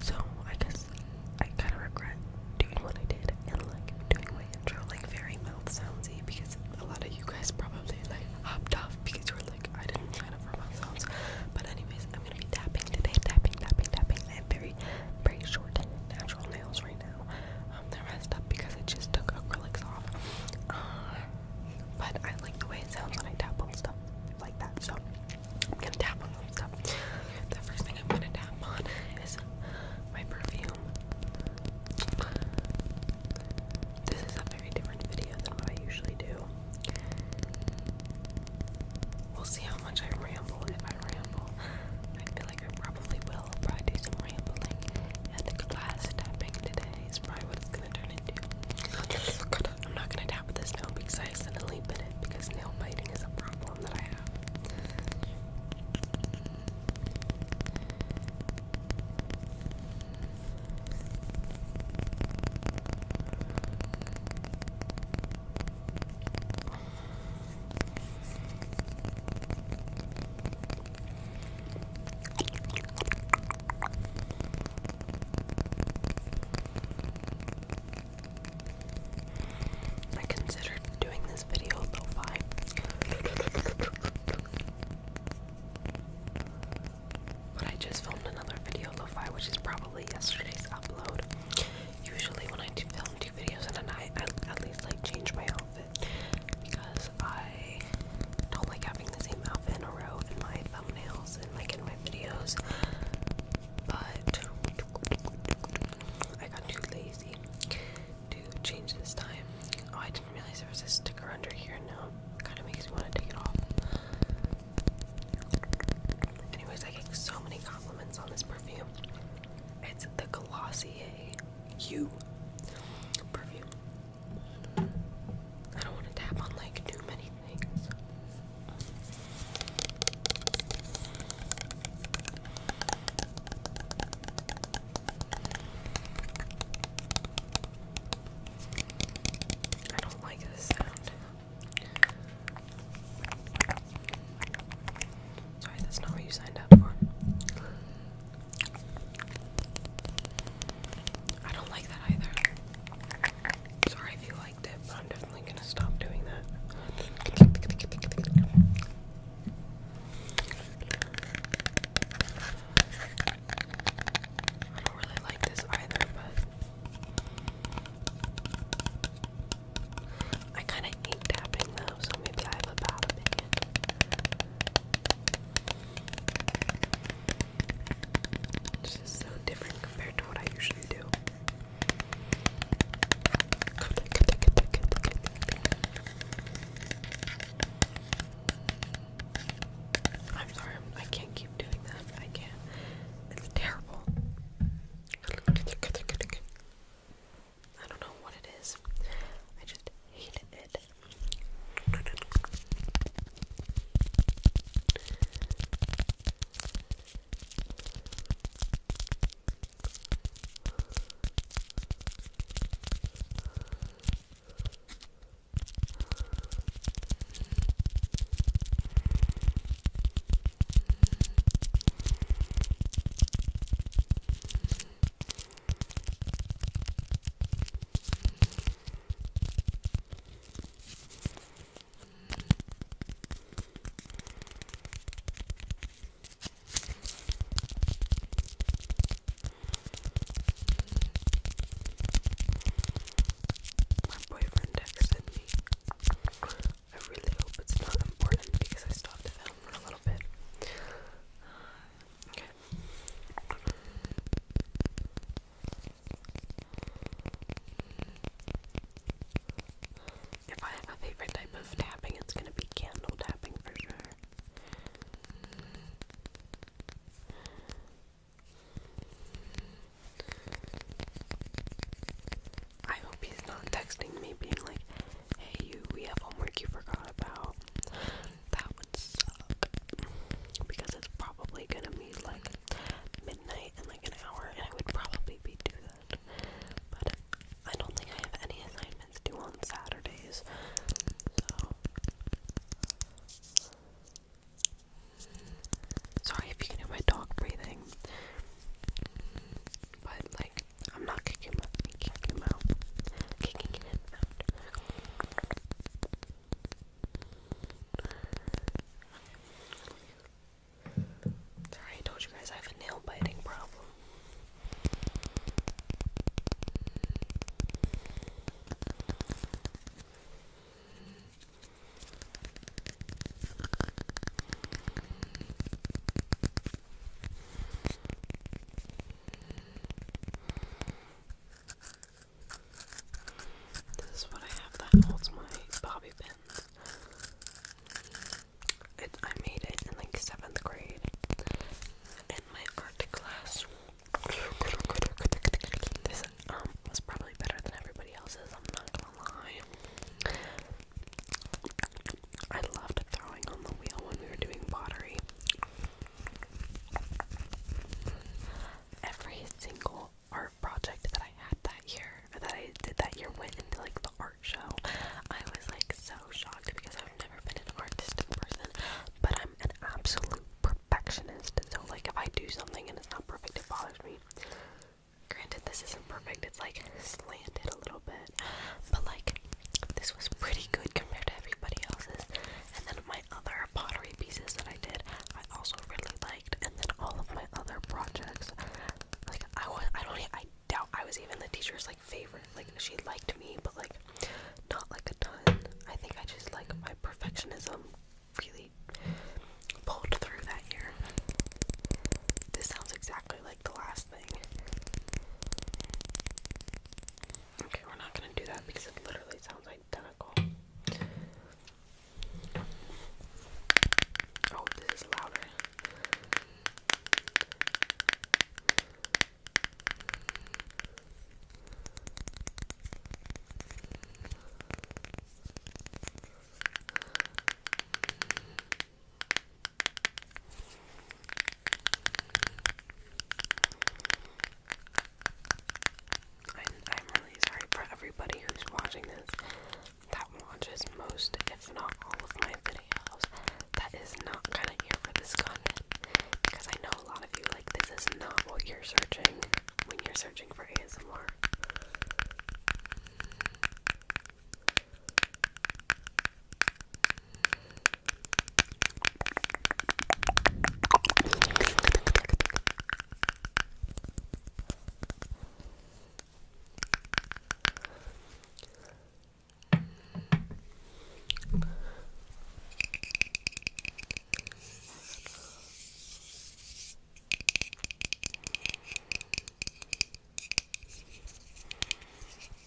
So I guess I kind of regret doing what I did and like doing my intro like very mouth soundsy because a lot of you guys probably like hopped off because you were like I didn't sign up for mouth sounds. But anyways, I'm gonna be tapping today, tapping, tapping, tapping. I have very, very short natural nails right now. Um, they're messed up because I just took acrylics off. Uh, but I like the way it sounds when I tap on stuff like that. So I'm gonna tap on stuff. The first thing I'm gonna tap on is my perfume. This is a very different video than what I usually do. We'll see how much I ramble if I ramble like I probably will. probably do some rambling. And the glass tapping today is probably what gonna turn into. I'm not gonna tap with this nail because I accidentally bit it because nail biting is a problem that I have. I considered doing this video lo But I just filmed another video lo-fi, which is probably yesterday's upload. Usually when I do film videos in a night. I at least like change my outfit because I don't like having the same outfit in a row in my thumbnails and like in my videos. But I got too lazy to change this time. Oh, I didn't realize there was a sticker under here. Now kind of makes me want to take it off. Anyways, I get so many compliments on this perfume. It's the Glossier you perfume. I don't want to tap on like too many things. I don't like this sound. Sorry, that's not what you signed up for. I don't like that either. Sorry if you liked it, but I'm definitely gonna stop doing that. I don't really like this either, but I kind of hate tapping though, so maybe I have a bad This is so different compared to what I usually do. I'm sorry, I can't keep doing that. I can't. It's terrible. I don't know what it is. I just hate it. My boyfriend texted me I really hope it's not important because I stopped the film for a little bit. Uh, if I have a favorite type of tapping, it's gonna be candle tapping for sure. I hope he's not texting me being like, hey, you, we have homework you forgot about. That would suck. Because it's probably gonna be like midnight in like an hour, and I would probably be do that. But I don't think I have any assignments due on Saturdays. So. Sorry if you can hear my dog breathing. But like, I'm not kicking him Kicking him out. Sorry, told you guys I have a nail biting problem. This is what I have that holds my bobby pin. It, I made it in like seventh grade in my art class. This um was probably better than everybody else's. I loved throwing on the wheel when we were doing pottery. Every single art project that I had that year, that I did that year, went into like the art show. I was like so shocked because I've never been an artistic person, but I'm an absolute perfectionist. So like, if I do something and it's not perfect, it bothers me. Granted, this isn't perfect, it's like slanted a little bit, but like this was pretty good compared to everybody else's. And then my other pottery pieces that I did, I also really liked. And then all of my other projects, like I was, I don't, I doubt I was even the teacher's like favorite. Like she liked me, but like not like a ton. I think I just like my perfectionism really pulled through that year. This sounds exactly like the last thing. Okay, we're not gonna do that because it literally sounds identical. Oh, this is louder. I'm, really sorry for everybody who's watching this that watches most, if not all, of my videos. That is not kind of here for this content because I know a lot of you like this is not what you're searching when you're searching for for ASMR.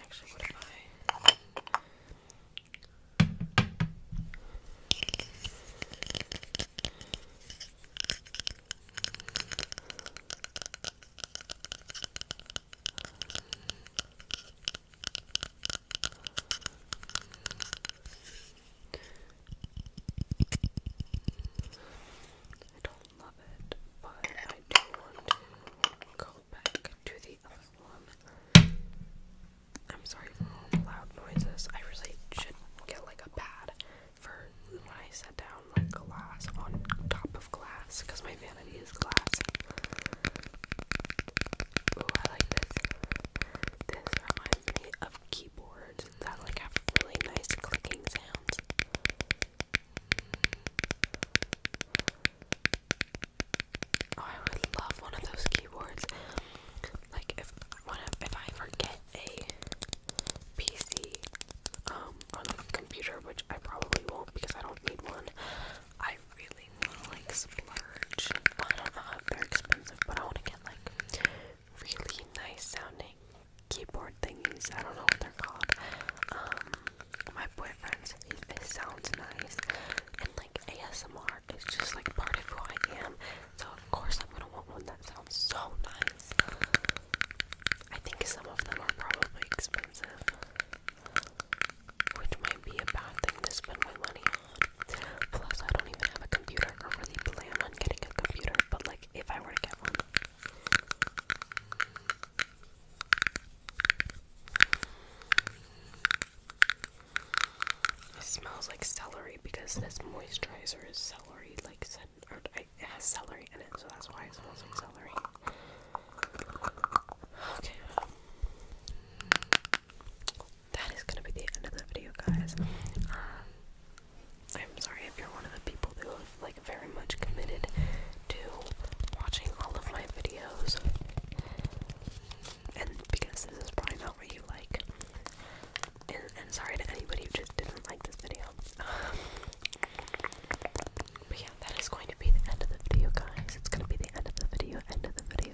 Actually, what if I? I don't love it, but I do want to go back to the other one. I'm sorry for the loud noises. I really should get like a pad for when I set down like glass on top of glass because my vanity is glass. Ooh, I like this. This reminds me of keyboards that like have really nice clicking sounds. Oh, I would love one of those keyboards. Like if one if I forget a PC um on a computer, which I probably won't because I don't need one. I really want to like splurge. I don't know, if they're expensive, but I want to get like really nice sounding keyboard thingies. I don't know what they're called. Um, my boyfriend's, this sounds nice, and like ASMR is just like part of who I am. So of course I'm gonna want one that sounds so nice. I think some of them are probably expensive which might be a bad thing to spend my money on. Plus, I don't even have a computer or really plan on getting a computer, but like if I were to get one. It smells like celery because this moisturizer is celery, like or it has celery in it, so that's why it smells like celery. Okay that is gonna be the end of the video, guys. Um, I'm sorry if you're one of the people who have like very much committed to watching all of my videos, and because this is probably not what you like. And, sorry to anybody who just didn't like this video. but yeah, that is going to be the end of the video, guys. It's gonna be the end of the video, end of the video